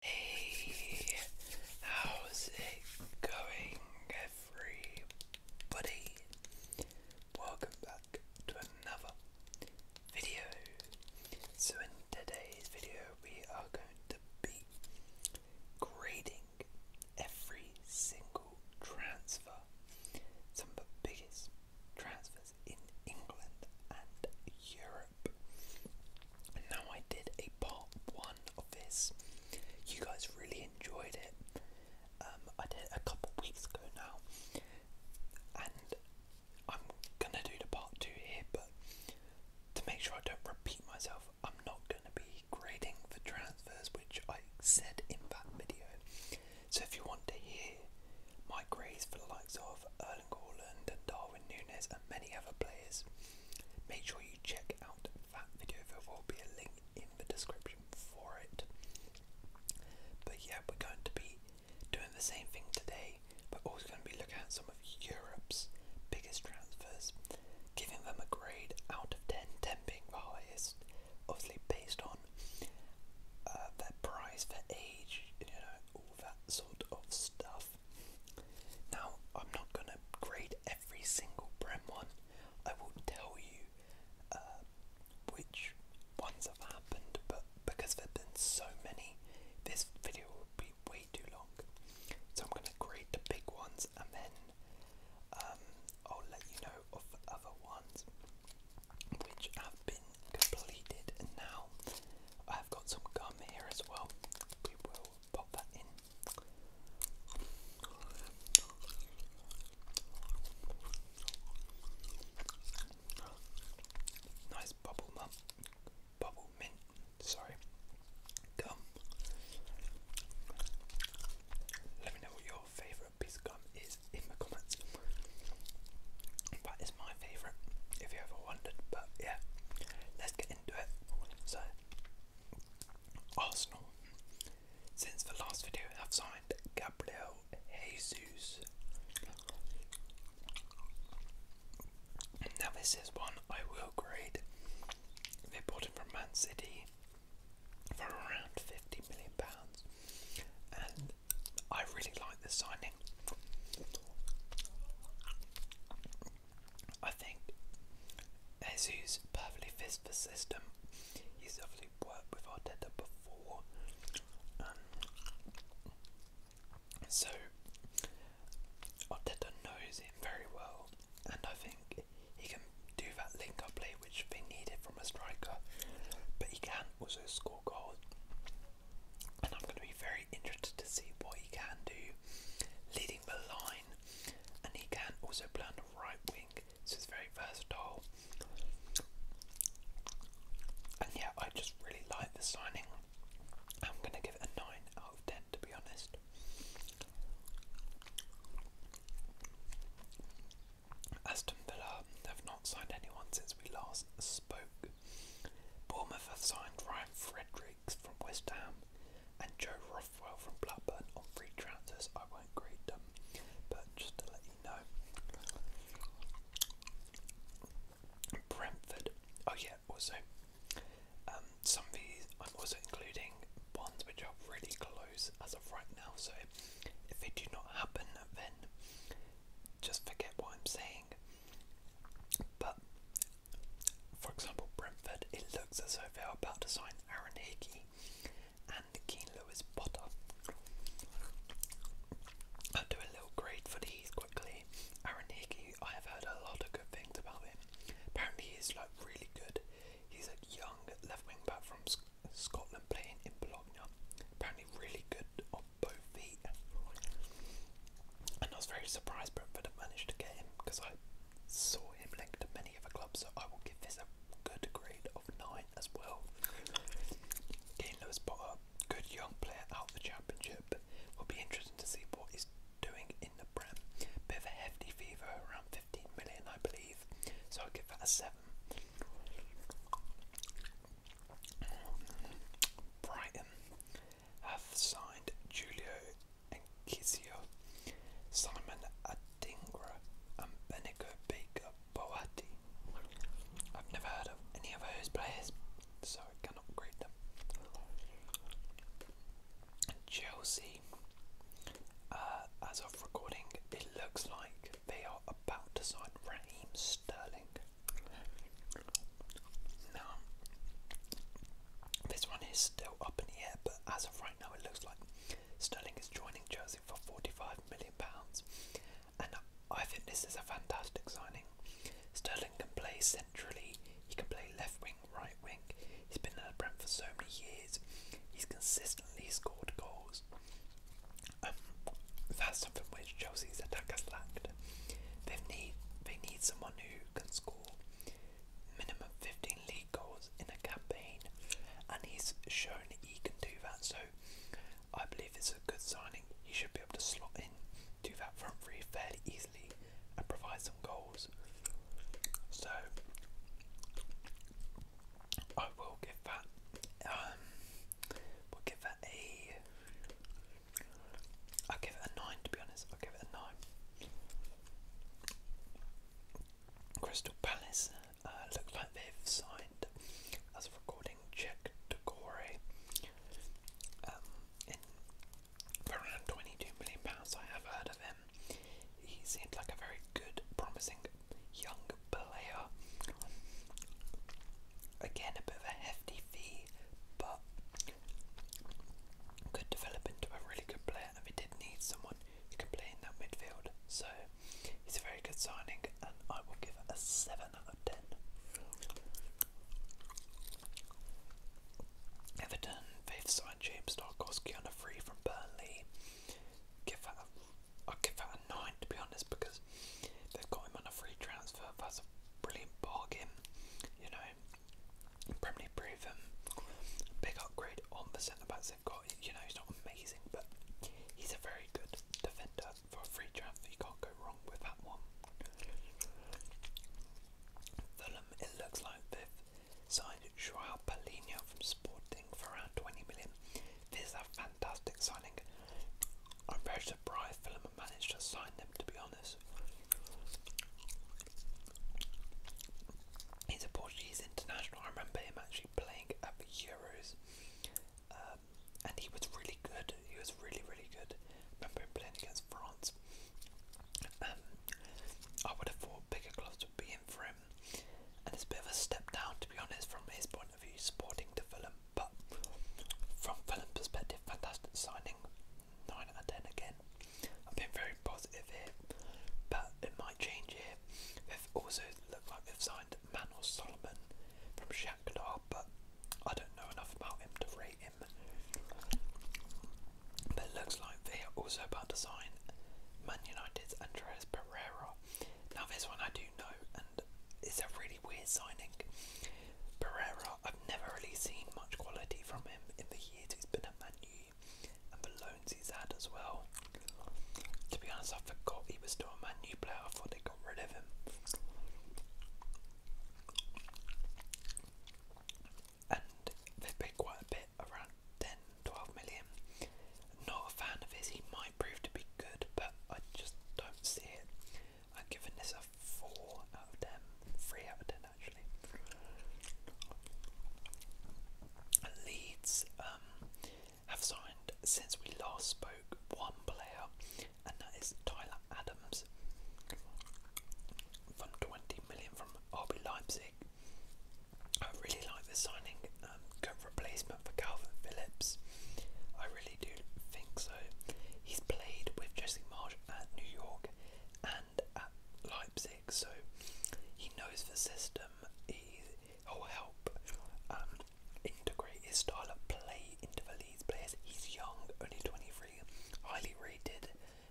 Hey, how's it going, everybody? Welcome back to another video. So, in today's video, we are going to be grading every single transfer, some of the biggest transfers in England and Europe. Now I did a part one of this. You guys really enjoyed it. Um, I did a couple weeks ago now, and I'm gonna do the part two here, but to make sure I don't repeat myself, I'm not gonna be grading for transfers, which I said in that video. So if you want to hear my grades for the likes of uh, Erling Darwin Nunes, and many other players. Make sure you check out that video, there will be a link in the description for it. But yeah, we're going to be doing the same thing today, We're also going to be looking at some of Europe's biggest transfers, giving them a grade out of 10, being highest, obviously based on uh, their price, their age, you know, all that sort of stuff. Now, I'm not going to grade every single Brem one. I will tell you uh, which ones have happened, but because there have been so many, this video will be way too long. So I'm going to grade the big ones and then um, I'll let you know of other ones which have been completed. now I've got some gum here as well. We will pop that in. Nice bubble mum, bubble mint. Sorry, gum. Let me know what your favourite piece of gum is in the comments. That is my favourite, if you ever wondered. But yeah, let's get so, Arsenal, since the last video, i have signed Gabriel Jesus. Now, this is one I will grade. They bought him from Man City for around fifty million pounds, and I really like the signing. I think Jesus perfectly fits the system. He's obviously worked with Arteta before. Um, so Arteta knows him very well and I think he can do that link up play which they needed from a striker but he can also score goals and I'm going to be very interested to see what he can do leading the line, and he can also play on the right wing, so it's very versatile. And yeah, I just really like the signing. I'm going to give it a 9 out of 10 to be honest. Aston Villa have not signed anyone since we last spoke. Bournemouth have signed Ryan Frederick from West Ham and Joe Rothwell from Blackburn on free transfers. I won't greet them, but just to let you know. Brentford. Oh yeah, also um, some of these I'm also including ones which are really close as of right now. So if they do not happen, then just forget what I'm saying. But, for example, Brentford, it looks as though they're about to sign Aaron Hickey and Keen Lewis Potter. I'll do a little grade for these quickly. Aaron Hickey, I have heard a lot of good things about him. Apparently, he's like really good. He's a young left wing back from Scotland playing in Bologna. Apparently, really good both feet. And I was very surprised Brentford had managed to get him because I saw him linked to many other clubs, so I will give this a good grade of 9 as well. Getting Lewis Potter, good young player out the championship. Will be interesting to see what he's doing in the Prem. Bit of a hefty fever, around 15 million, I believe, so I'll give that a 7. Brighton, have signed Julio Enciso, Simon Adingra, and Benico Baker Boati. I've never heard of any of those players, so I cannot grade them. Chelsea, uh, as of recording, it looks like they are about to sign Raheem Sterling. Now, this one is still up in the air, but as of right now, it looks like Sterling is joining Chelsea for £45 million. And I think this is a fantastic signing. Sterling can play centrally, he can play left wing, right wing. He's been at Brent for so many years, he's consistently scored goals. Um, that's something which Chelsea's attack has lacked. They need they need someone who can score minimum 15 league goals in a campaign, and he's shown he can do that. So I believe it's a good signing. He should be able to slot in do that front three fairly easily and provide some goals. So I will give that. Um, we'll give that a I'll give it a 9 to be honest. I'll give it a 9. Crystal Palace uh, look like they've signed, as a recording, Czech Dugore um, in around £22 million. I have heard of him. He seemed like a very good, promising young player. Again, a bit of a hefty fee me, but could develop into a really good player. And we did need someone who can play in that midfield, so he's a very good signing, and I will give it a seven out of ten. Everton, they signed James Tarkowski on a free from Burnley. Give that a, give that a nine to be honest because they've got him on a free transfer transfer, that's a brilliant bargain, you know. Premier proven, big upgrade on the centre backs they've got. You know, he's not amazing, but he's a very good defender for a free transfer. You can't go wrong with that one. Fulham, it looks like they've signed Joao Palhinha from Sporting for around 20 million. This is a fantastic signing. Brian Fillman managed to sign them, to be honest. He's a Portuguese international. I remember him actually playing at the Euros, um, and he was really good. He was really, really good. I remember him playing against France. Um, I would have thought bigger clubs to be in for him, and it's a bit of a step down, to be honest, from his point of view, sporting to Fulham. But from Fulham's perspective, fantastic signing. 9 out of 10 again. I've been very positive here, but it might change here. They've also looked like they've signed Manuel Solomon from Shakhtar, but I don't know enough about him to rate him. But it looks like they are also about to sign Man United's Andres Pereira. Now this one I do know, and it's a really weird signing. Pereira, I've never really seen much quality from him in the years he's been at Man U and the loans he's had as well. To be honest, I forgot he was still a Man U player. I thought they got rid of him. And they paid quite a bit, around 10, Not a fan of his. He might prove to be good, but I just don't see it. I'm giving this a 4 out of 10. out of 10 actually. Leeds um, have signed, since we last spoke, one player, and that is Tyler Adams from 20 million from RB Leipzig. I really like the signing, um, good replacement for Calvin Phillips. I really I do think so. He's played with Jesse Marsh at New York and at Leipzig, so he knows the system. He'll help um, integrate his style of play into the Leeds players. He's young, only 23, highly rated,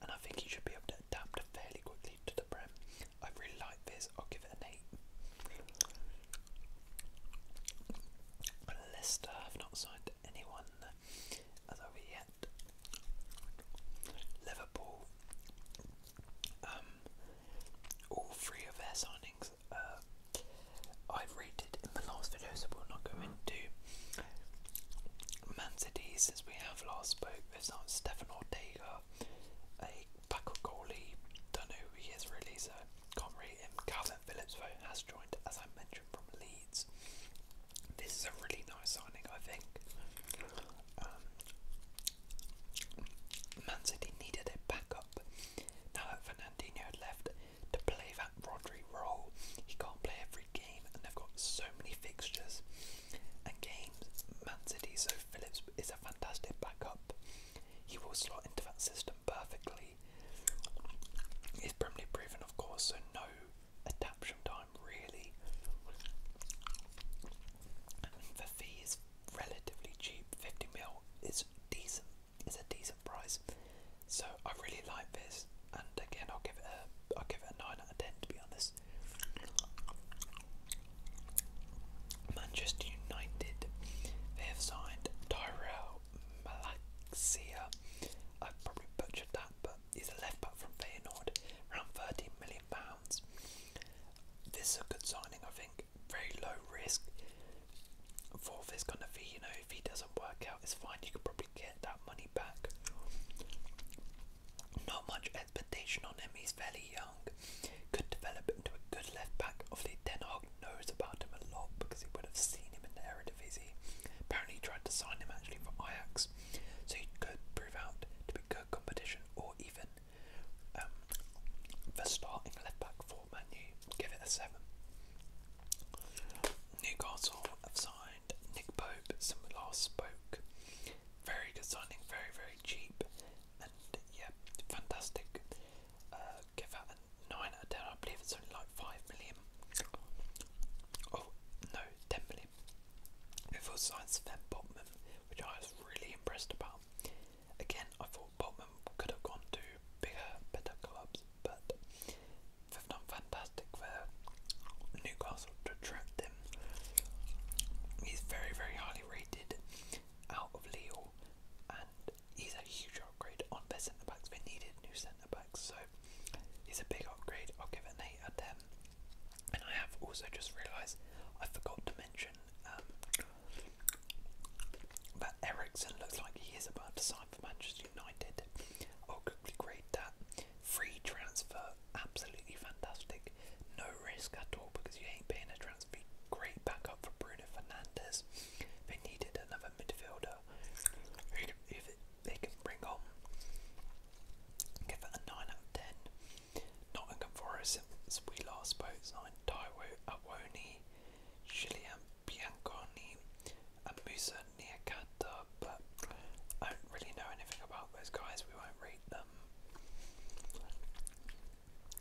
and I think he should be able to adapt fairly quickly to the Prem. I really like this, I'll give it an 8. Leicester have not signed anyone done as of yet. Liverpool, um, all three of their signings uh, I've rated in the last video, so we'll not go into. Man City, since we have last spoke, there's not Stefan Ortega, a backup goalie, don't know who he is really, so can't rate him. Calvin Phillips, though, has joined, as I mentioned, from Leeds. This is a really nice signing, I think. Um, Man City needed a backup. Now that Fernandinho had left to play that Rodri role, he can't play every game, and they've got so many fixtures and games. Man City, so Phillips is a fantastic backup. He will slot into that system perfectly. It's permanently proven, of course, so no adaptation time really. the fee is relatively cheap. 50 mil is decent. It's a decent price. So I really like this, and again, I'll give it a I'll give it a nine out of ten to be honest. Manchester United, they have signed Tyrell Malaxia I've probably butchered that, but he's a left back from Feyenoord, around 13 million pounds. This is a good signing, I think. Very low risk for this kind of fee. You know, if he doesn't work out, it's fine. You can probably get that money back. Not much expectation on him. He's fairly young. Could develop into a good left back. of Obviously, Ten Clark knows about him a lot because he would have seen him in the Eredivisie. Apparently, he tried to sign him actually for Ajax, so he could prove out to be good competition or even um, the starting left back for Manu. Give it a seven. Newcastle have signed Nick Pope since we last spoke. Very good signing, very very cheap, and yeah, fantastic. Uh, give that a nine out of ten. I believe it's only like five million. Oh no, ten million. Before signed Sven Botman, which I was really impressed about. Again, I thought Bolton could have gone to bigger, better clubs, but they've fantastic for Newcastle to attract him. He's very, very highly rated out of Leo and he's a huge upgrade on their centre backs. They needed new centre backs, so he's a big upgrade. I'll give it an 8 out of 10. And I have also just realised I forgot to mention um, that Ericsson looks like he is about to sign for Manchester United. I'll quickly grade that. Free transfer, absolutely fantastic. No risk at all because you ain't paying a transfer. Great backup for Bruno Fernandes. They needed another midfielder. Canada, who if they can bring on, give it a nine out of ten. Nottingham Forest, since we last spoke, signed Taiwo Awoni, Julian Bianconi, and Musa Niakata, but I don't really know anything about those guys. We won't read them.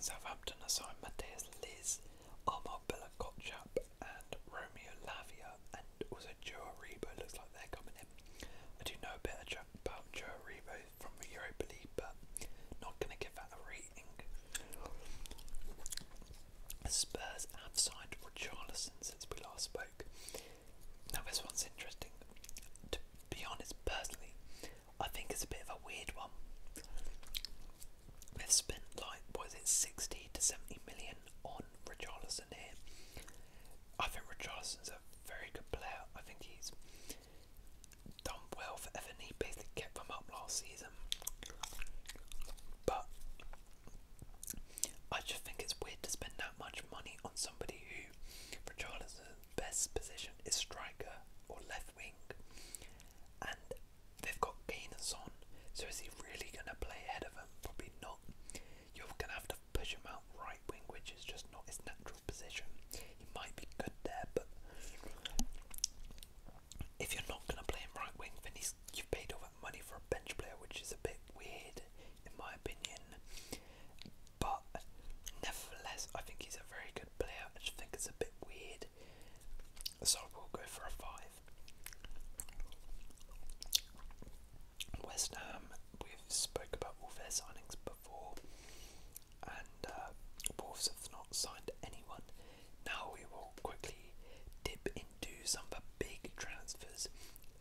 Southampton assigned Matthias Liz, Armand Bella Kotchup, and Romeo Lavia and also Joe Rebo looks like they're coming in. I do know a bit about Joe Rebo from the Europa League, but not going to give that the rating. Spurs have signed Richarlison since we last spoke. Now, this one's interesting. To be honest, personally, I think it's a bit of a weird one. They've spent like what is it, sixty to seventy million on Richarlison here. I think Richarlison's a very good player. I think he's done well for Everton. He basically kept them up last season, but I just think it's weird to spend that much money on somebody who Richarlison's best position is striker or left wing, and They've got Kane and Son, so is he really going to play ahead of him? Probably not. You're going to have to push him out right wing, which is just not his natural position. He might be good there, but if you're not going to play him right wing, then he's, you've paid all that money for a bench player, which is a bit weird, in my opinion. But nevertheless, I think he's a very good player. I just think it's a bit weird so we'll go for a five. West Ham, we've spoke about all their signings before, and uh, Wolves have not signed anyone. Now we will quickly dip into some of the big transfers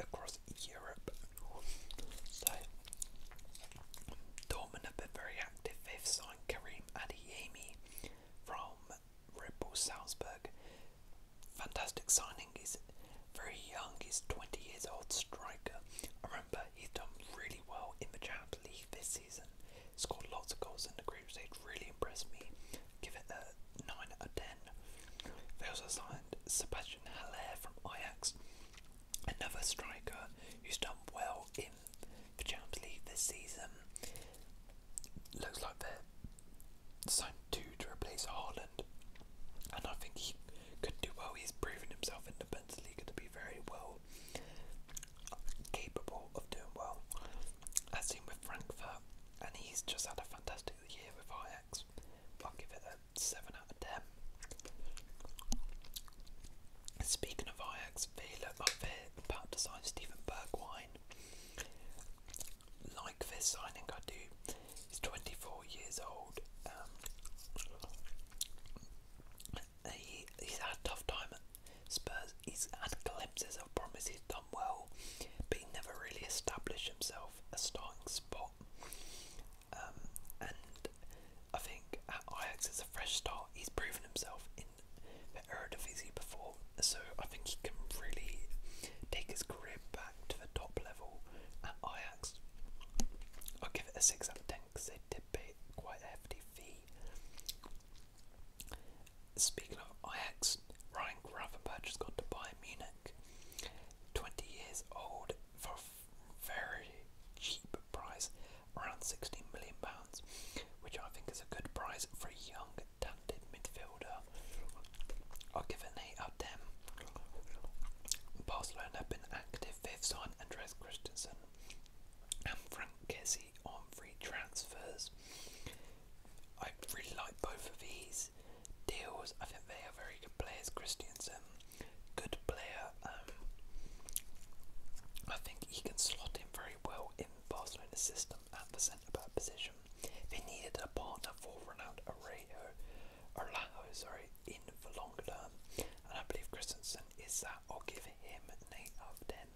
across Europe. So, Dortmund have been very active. They've signed Karim from Red Bull Salzburg. Fantastic signing. He's very young. He's 20 years old striker. I remember he's done really well in the Champions League this season. Scored lots of goals in the group stage. Really impressed me. Give it a 9 out of 10. They also signed Sebastian Haller from Ajax. Another striker who's done well in the Champions League this season. Looks like they're signed two to replace Haaland, and I think he could do well. He's proven himself in the Bundesliga to be very well capable of doing well, as seen with Frankfurt, and he's just had a fantastic year with Ajax. I'll give it a 7 out of 10. Speaking of Ajax, they look like they're about to sign Steven Bergwijn like this I think I do. He's 24 years old. Um, he's had tough time at Spurs. He's had glimpses of promise. He's done well, but he never really established himself a starting spot. Um, and I think at Ajax it's a fresh start. He's proven himself in the Eredivisie before, so I think he can really take his career back to the top level at Ajax. I'll give it a 6 out of 10 because they did pay quite a hefty fee. Speaking of Ajax, Ryan Gravenberch has got to Bayern Munich. 20 years old for a very cheap price, around £16 million, which I think is a good price for a young talented midfielder. I'll give an 8 out of 10. Barcelona have been active, fifth have signed Andres Christensen and Frank Kessie on free transfers. I really like both of these deals. I think they are very good players. Christensen, good player. Um, I think he can slot in very well in Barcelona's system at the centre centre back position. They needed a partner for Ronaldo Araujo, Araujo, sorry, in the long term, and I believe Christensen is that. I'll give him an eight out of ten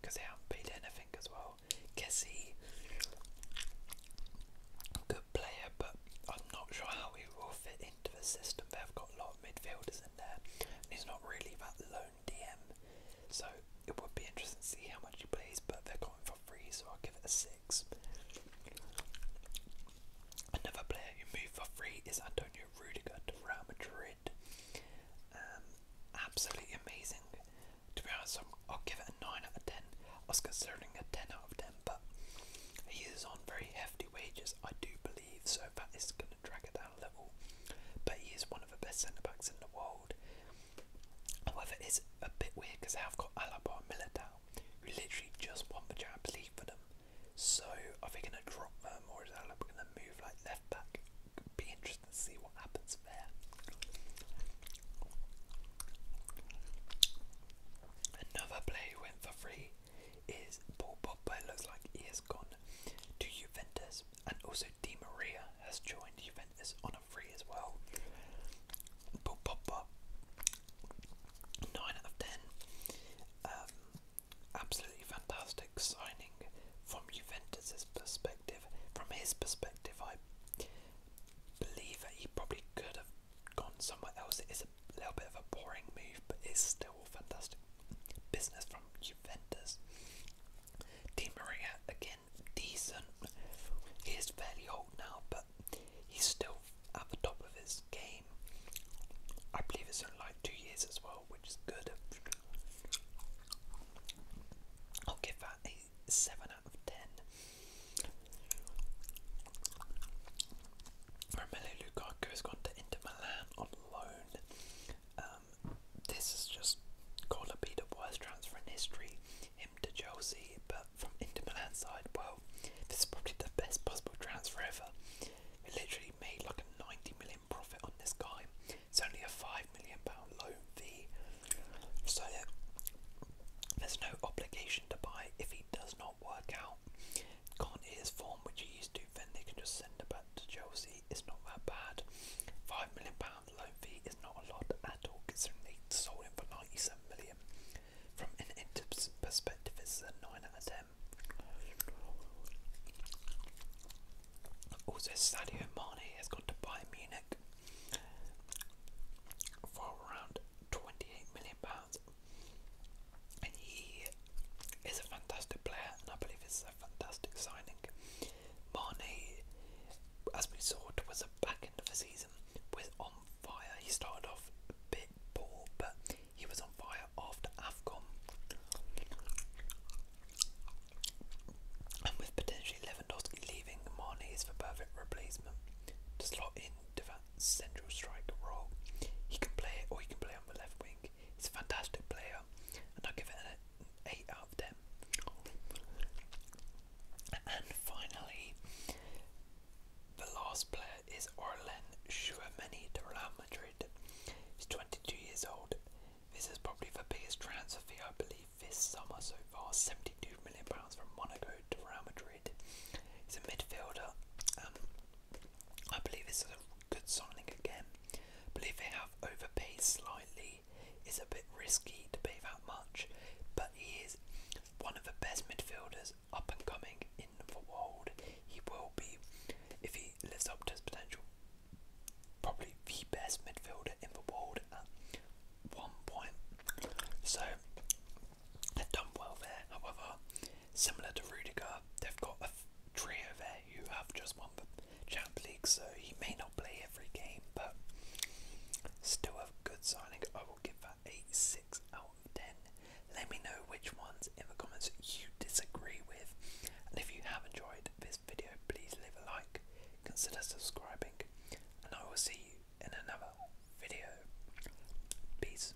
because they haven't paid anything as well. Kessie, good player, but I'm not sure how he will fit into the system. They've got a lot of midfielders in there, and he's not really that low DM. So it would be interesting to see how much he plays, but they're going for free, so I'll give it a six. Another player you move for free is Antonio Rudiger to Real Madrid. Um, absolutely amazing. To be honest, i will give it a 9 out of 10. I was considering a 10 out of 10, but he is on very hefty wages, I do believe, so that is going to drag it down a level. But he is one of the best centre backs in the world. However, it's a bit weird because I've got Alaba and Militao, who literally just won the Champions League for them. So are they going to drop them, or is Alaba going to move like left back? It'd be interesting to see what happens there. Another player who went for free is Paul Pogba. looks like he has gone to Juventus, and also Di Maria has joined Juventus on a free as well. 9 out of 10. Um, absolutely fantastic signing from Juventus's perspective. From his perspective, I believe that he probably could have gone somewhere else. It is a little bit of a boring move, but it's still fantastic business from Juventus. Di Maria again decent. He is fairly old now, but he's still at the top of his game. I believe it's only like two years as well, which is good. I'll give that a 7 out of 10. Romelu Lukaku has gone to Inter Milan on loan. Um, um, this is just going to be the worst transfer in history. Him to Chelsea, but from Inter Milan side, well, this is probably the best possible transfer ever. We literally made like a 90 million profit on this guy. It's only a five million pound loan fee, so there's no obligation to buy if he does not work out. Can't form, which he used to, then they can just send him back to Chelsea. It's not that bad. Five million pound loan fee is not a lot at all considering they sold him for 97 million. From an Inter's perspective, it's a 9 out of 10. Also, Sadio Mane has gone to Bayern Munich for around 28 million pounds, and he is a fantastic player, and I believe it's a fantastic signing. Mane, as we saw towards the back end of the season, was on fire. He started off a bit poor, but he was on fire after AFCON. And with potentially Lewandowski leaving, Mane is the perfect replacement to slot into that central striker role. He can play it or he can play on the left wing. He's a fantastic player, and I give it eight out of ten. And finally, the last player is Orlen Chouameni to Real Madrid. He's 22 years old. This is probably the biggest transfer fee, I believe, this summer so far. £72 million from Monaco to Real Madrid. He's a midfielder. Um, I believe this a good signing again. I believe they have overpaid slightly he is a bit risky to pay that much, but he is one of the best midfielders up and coming in the world. He will be, if he lives up to his potential, probably the best midfielder in the world at one point. So they've done well there. However, similar to Rudiger, they've got a trio there who have just one. the Champ League, so he may not play every game, but still a good signing. I will give that eight 6 out of 10. Let me know which ones in the comments you disagree with, and if you have enjoyed this video, please leave a like, consider subscribing, and I will see you in another video. Peace.